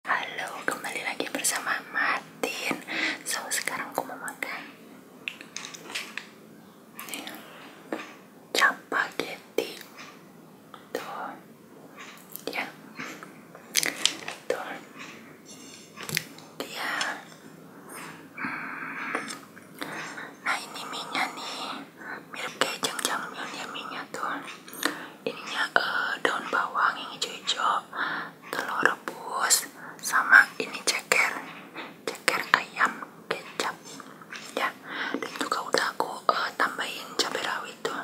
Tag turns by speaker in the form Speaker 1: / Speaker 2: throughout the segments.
Speaker 1: Halo, kembali lagi bersama Martin. So, sekarang aku mau makan capagetti. Tuh. Ya. Dia. Hmm. Nah, ini minyak nih. Mirip kayak jang-jang minyak tuh ininya uh, eh, daun bawang yang hijau-hijau telur rebus sama ini ceker ceker ayam kecap ya dan juga udah aku eh, tambahin cabai rawit tuh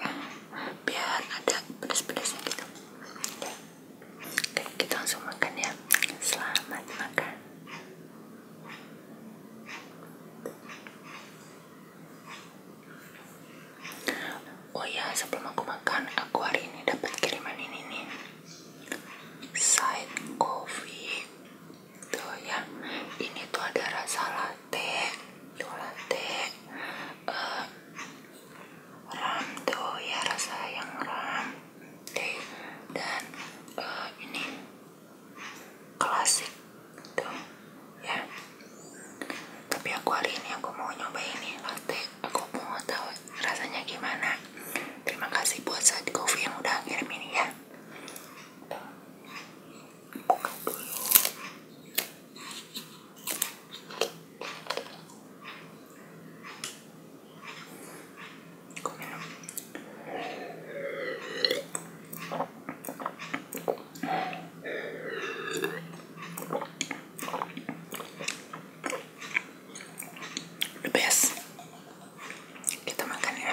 Speaker 1: ya, biar ada pedas-pedasnya gitu ya. kita langsung makan ya selamat makan Oh ya, sebelum aku makan, aku hari ini dapat kiriman ini nih. Side coffee. Tuh ya. Ini tuh ada rasa latte, tuh latte. Uh, ram tuh ya rasa yang ram. Teh dan uh, ini klasik tuh gitu. ya tapi aku hari ini aku mau nyobain nih latte aku mau tahu rasanya gimana terima kasih buat saat coffee yang udah kirim ini ya buka dulu aku minum the kita makan ya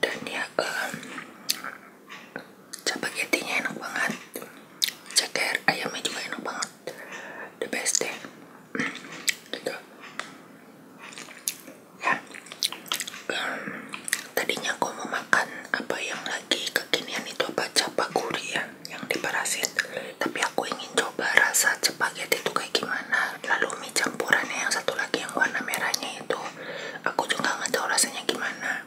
Speaker 1: dan ya um, spaghettinya enak banget ceker ayamnya juga enak banget the best deh gitu ya tadinya aku mau makan apa yang lagi kekinian itu apa capa gurih ya yang di parasit tapi aku ingin coba rasa spaghetti itu kayak gimana lalu mie campurannya yang satu lagi yang warna merahnya itu aku juga nggak tahu rasanya gimana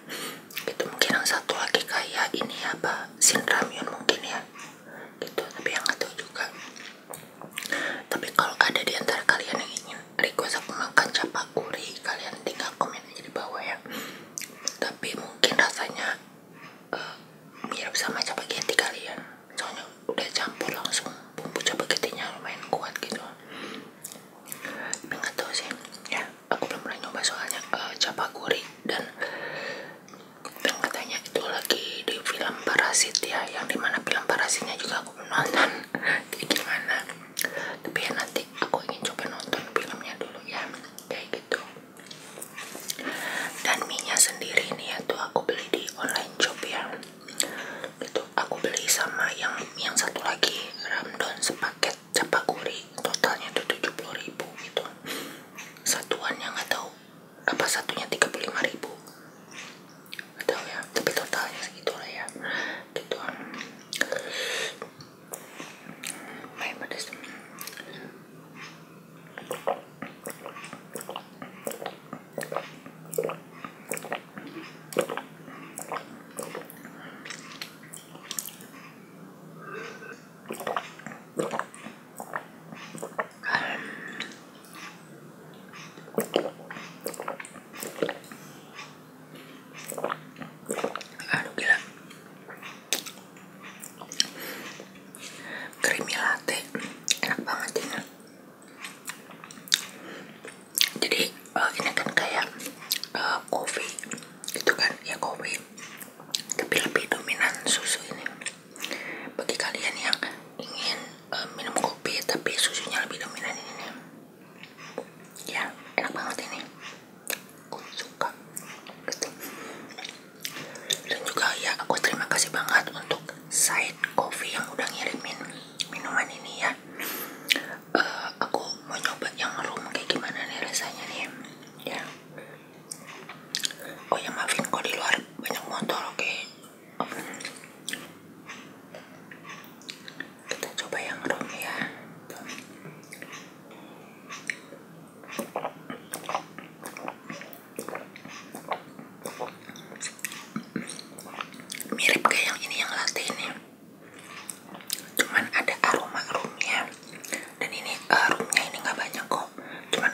Speaker 1: gitu mungkin yang satu lagi kayak ini apa sinramyun mungkin ya gitu tapi yang nggak tahu juga tapi kalau ada di antara kalian yang ingin request aku makan kuri kalian tinggal komen aja di bawah ya tapi mungkin rasanya eh, mirip sama capageti kalian soalnya udah campur langsung bumbu capagetinya lumayan kuat gitu tapi nggak tahu sih ya aku belum pernah nyoba soalnya uh, eh, kuri dan katanya itu lagi di film Parasit ya yang dimana film Parasitnya juga aku menonton, nonton jadi gimana tapi ya nanti aku ingin coba nonton filmnya dulu ya kayak gitu dan minyak sendiri nih ya tuh aku beli di online shop ya itu aku beli sama yang yang satu lagi ramdon sepaket capakuri totalnya tuh 70 ribu gitu satuannya nggak tahu apa satunya tiga puluh lima ribu, atau ya tapi totalnya segitu lah ya gitu main pedas aduh gila creamy latte enak banget ini ya. jadi uh, ini kan kayak eh, kopi itu kan ya kopi tapi lebih dominan susu ini bagi kalian yang ingin eh, minum kopi tapi susunya lebih dominan ini ya enak banget ini aku suka gitu. dan juga ya aku terima kasih banget untuk side coffee yang udah ngirimin minuman ini ya eh, aku mau nyoba yang room kayak gimana nih rasanya nih ya oh ya maafin kok di luar banyak motor oke kita coba yang room ya mirip kayak yang ini yang latte ini cuman ada aroma roomnya dan ini uh, ini nggak banyak kok kok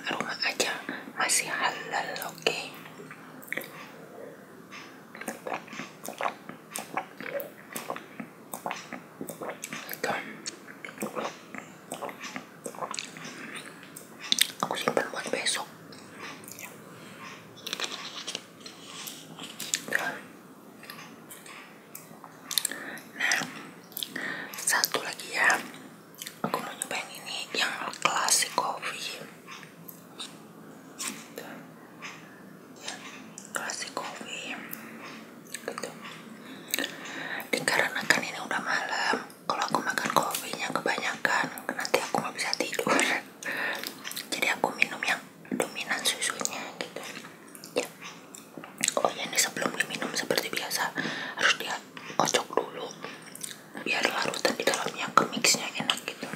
Speaker 1: cuman aja masih halal oke aku simpan buat besok Nah, satu lagi ya aku mau nyobain ini yang klasik coffee klasik coffee gitu. dikarenakan ini udah malam kalau aku makan kopinya kebanyakan nanti aku nggak bisa tidur jadi aku minum yang dominan susunya gitu ya. oh ya ini sebelum diminum seperti biasa harus dia kocok dulu biar larutan di dalamnya ke mixnya enak gitu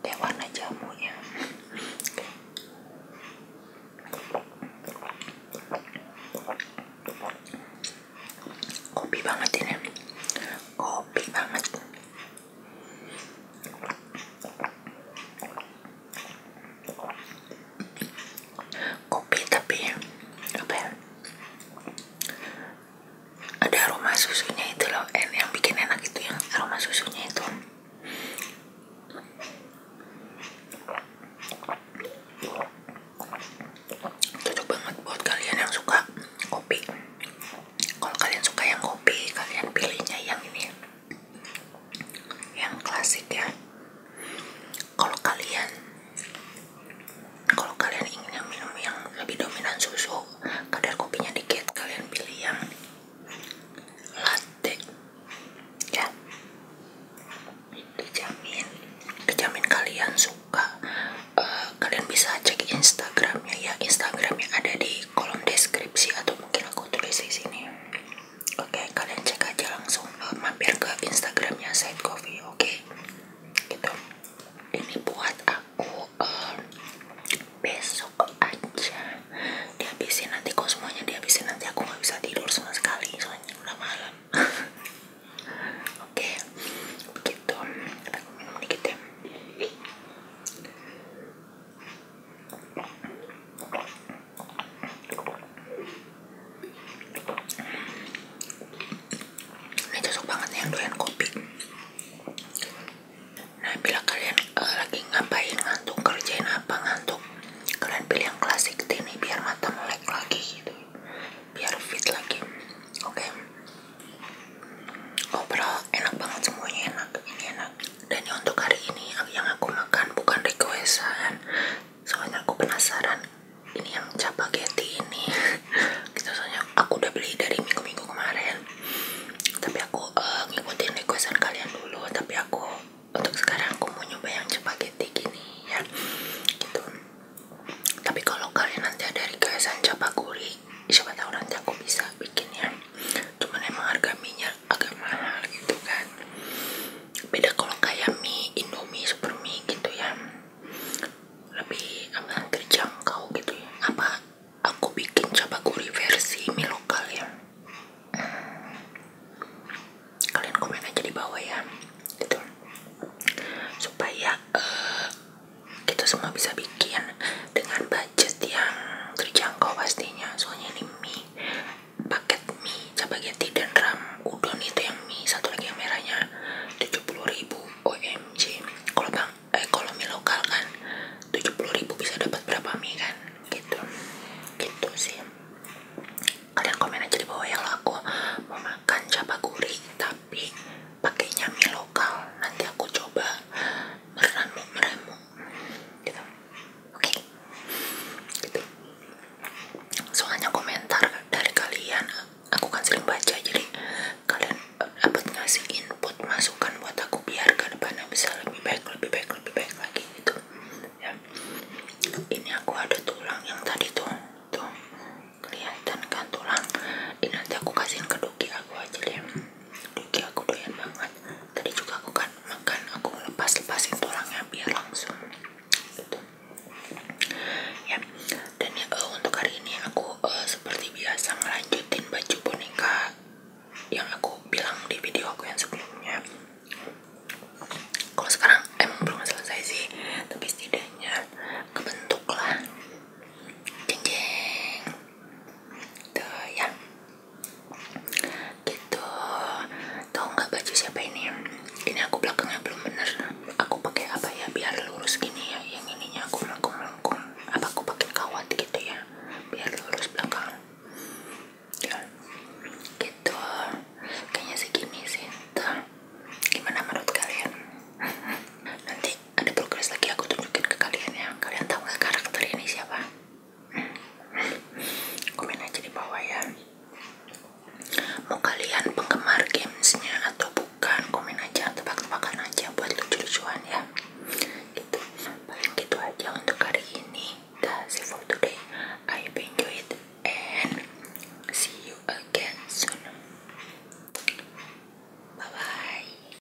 Speaker 1: kayak warna jamunya kopi banget ini kopi banget kopi tapi apa ya? ada aroma susunya itu loh en eh, yang bikin enak itu yang aroma susunya itu cocok banget buat kalian yang suka kopi kalau kalian suka yang kopi kalian pilihnya yang ini yang klasik ya kalau kalian kalau kalian ingin minum yang lebih dominan susu kadar kopinya dikit kalian pilih yang latte ya dijamin dijamin kalian suka eh, kalian bisa cek instagram Instagramnya ya Instagramnya ada di kolom deskripsi atau mungkin aku tulis di sini oke kalian cek aja langsung eh, mampir ke Instagramnya Side Coffee oke gitu ini buat aku eh, besok aja dihabisin nanti kok semuanya dihabisin nanti aku nggak bisa tidur sama sekali soalnya udah malam oke okay. begitu aku minum ini cocok banget nih yang doyan kopi. Nah, bila kalian eh, lagi ngapain ngantuk, kerjain apa ngantuk, kalian pilih yang klasik ini biar mata melek lagi gitu. Biar fit lagi. Oke. Overall enak banget semuanya enak, ini enak. Dan untuk hari ini yang aku makan bukan requestan, soalnya aku penasaran ini yang capageti ini. Kita gitu, soalnya aku udah beli dari minggu-minggu kemarin. Tapi aku eh, ngikutin requestan kalian dulu. Tapi aku untuk sekarang aku mau nyoba yang capageti gini ya. Gitu. Tapi kalau kalian nanti ada requestan capaguri, siapa tahu nanti aku bisa bikinnya cuman emang harga minyak agak mahal gitu kan beda kalau kayak mie indomie super mie gitu ya lebih apa terjangkau gitu ya apa aku bikin coba cabaguri versi mie lokal ya kalian komen aja di bawah ya gitu supaya uh, kita semua bisa bikin dengan budget yang terjangkau pastinya soalnya ini mie paket mie spaghetti dan ram udon itu yang mie satu lagi yang merahnya 70.000 OMG kalau bang eh kalau mie lokal kan 70.000 bisa dapat berapa mie kan gitu gitu sih kalian komen aja di bawah yang aku mau makan cabai gurih tapi pakainya mie lokal nanti aku coba meramu meramu gitu oke gitu soalnya komentar dari kalian aku kan sering baca jadi kalian eh, dapat ngasih input masukan buat aku biar ke bisa lebih baik lebih baik lebih baik lagi gitu ya ini aku ada tulang yang tadi tuh tuh kelihatan kan tulang ini nanti aku kasihin ke doki aku aja deh Duki aku doyan banget tadi juga aku kan makan aku lepas-lepasin tulangnya biar langsung gitu ya dan ya eh, untuk hari ini aku eh, seperti biasa ngelanjutin baju boneka yang aku bilang di video aku yang sebelumnya kalau sekarang emang belum selesai sih tapi setidaknya kebentuk lah jeng jeng itu ya gitu tau nggak baju siapa ini ini aku belakangnya belum benar, aku pakai apa ya biar lurus gini ya yang ininya aku melengkung melengkung apa aku pakai kawat gitu ya biar lurus belakang ya gitu kayaknya segini sih tuh gimana menurut kalian nanti ada progres lagi aku tunjukin ke kalian ya kalian tahu gak karakter ini siapa komen aja di bawah ya mau kalian penggemar gamesnya atau bukan komen aja atau tebak-tebakan aja buat lucu-lucuan ya itu paling itu aja untuk hari ini that's it for today I hope you enjoy it and see you again soon bye bye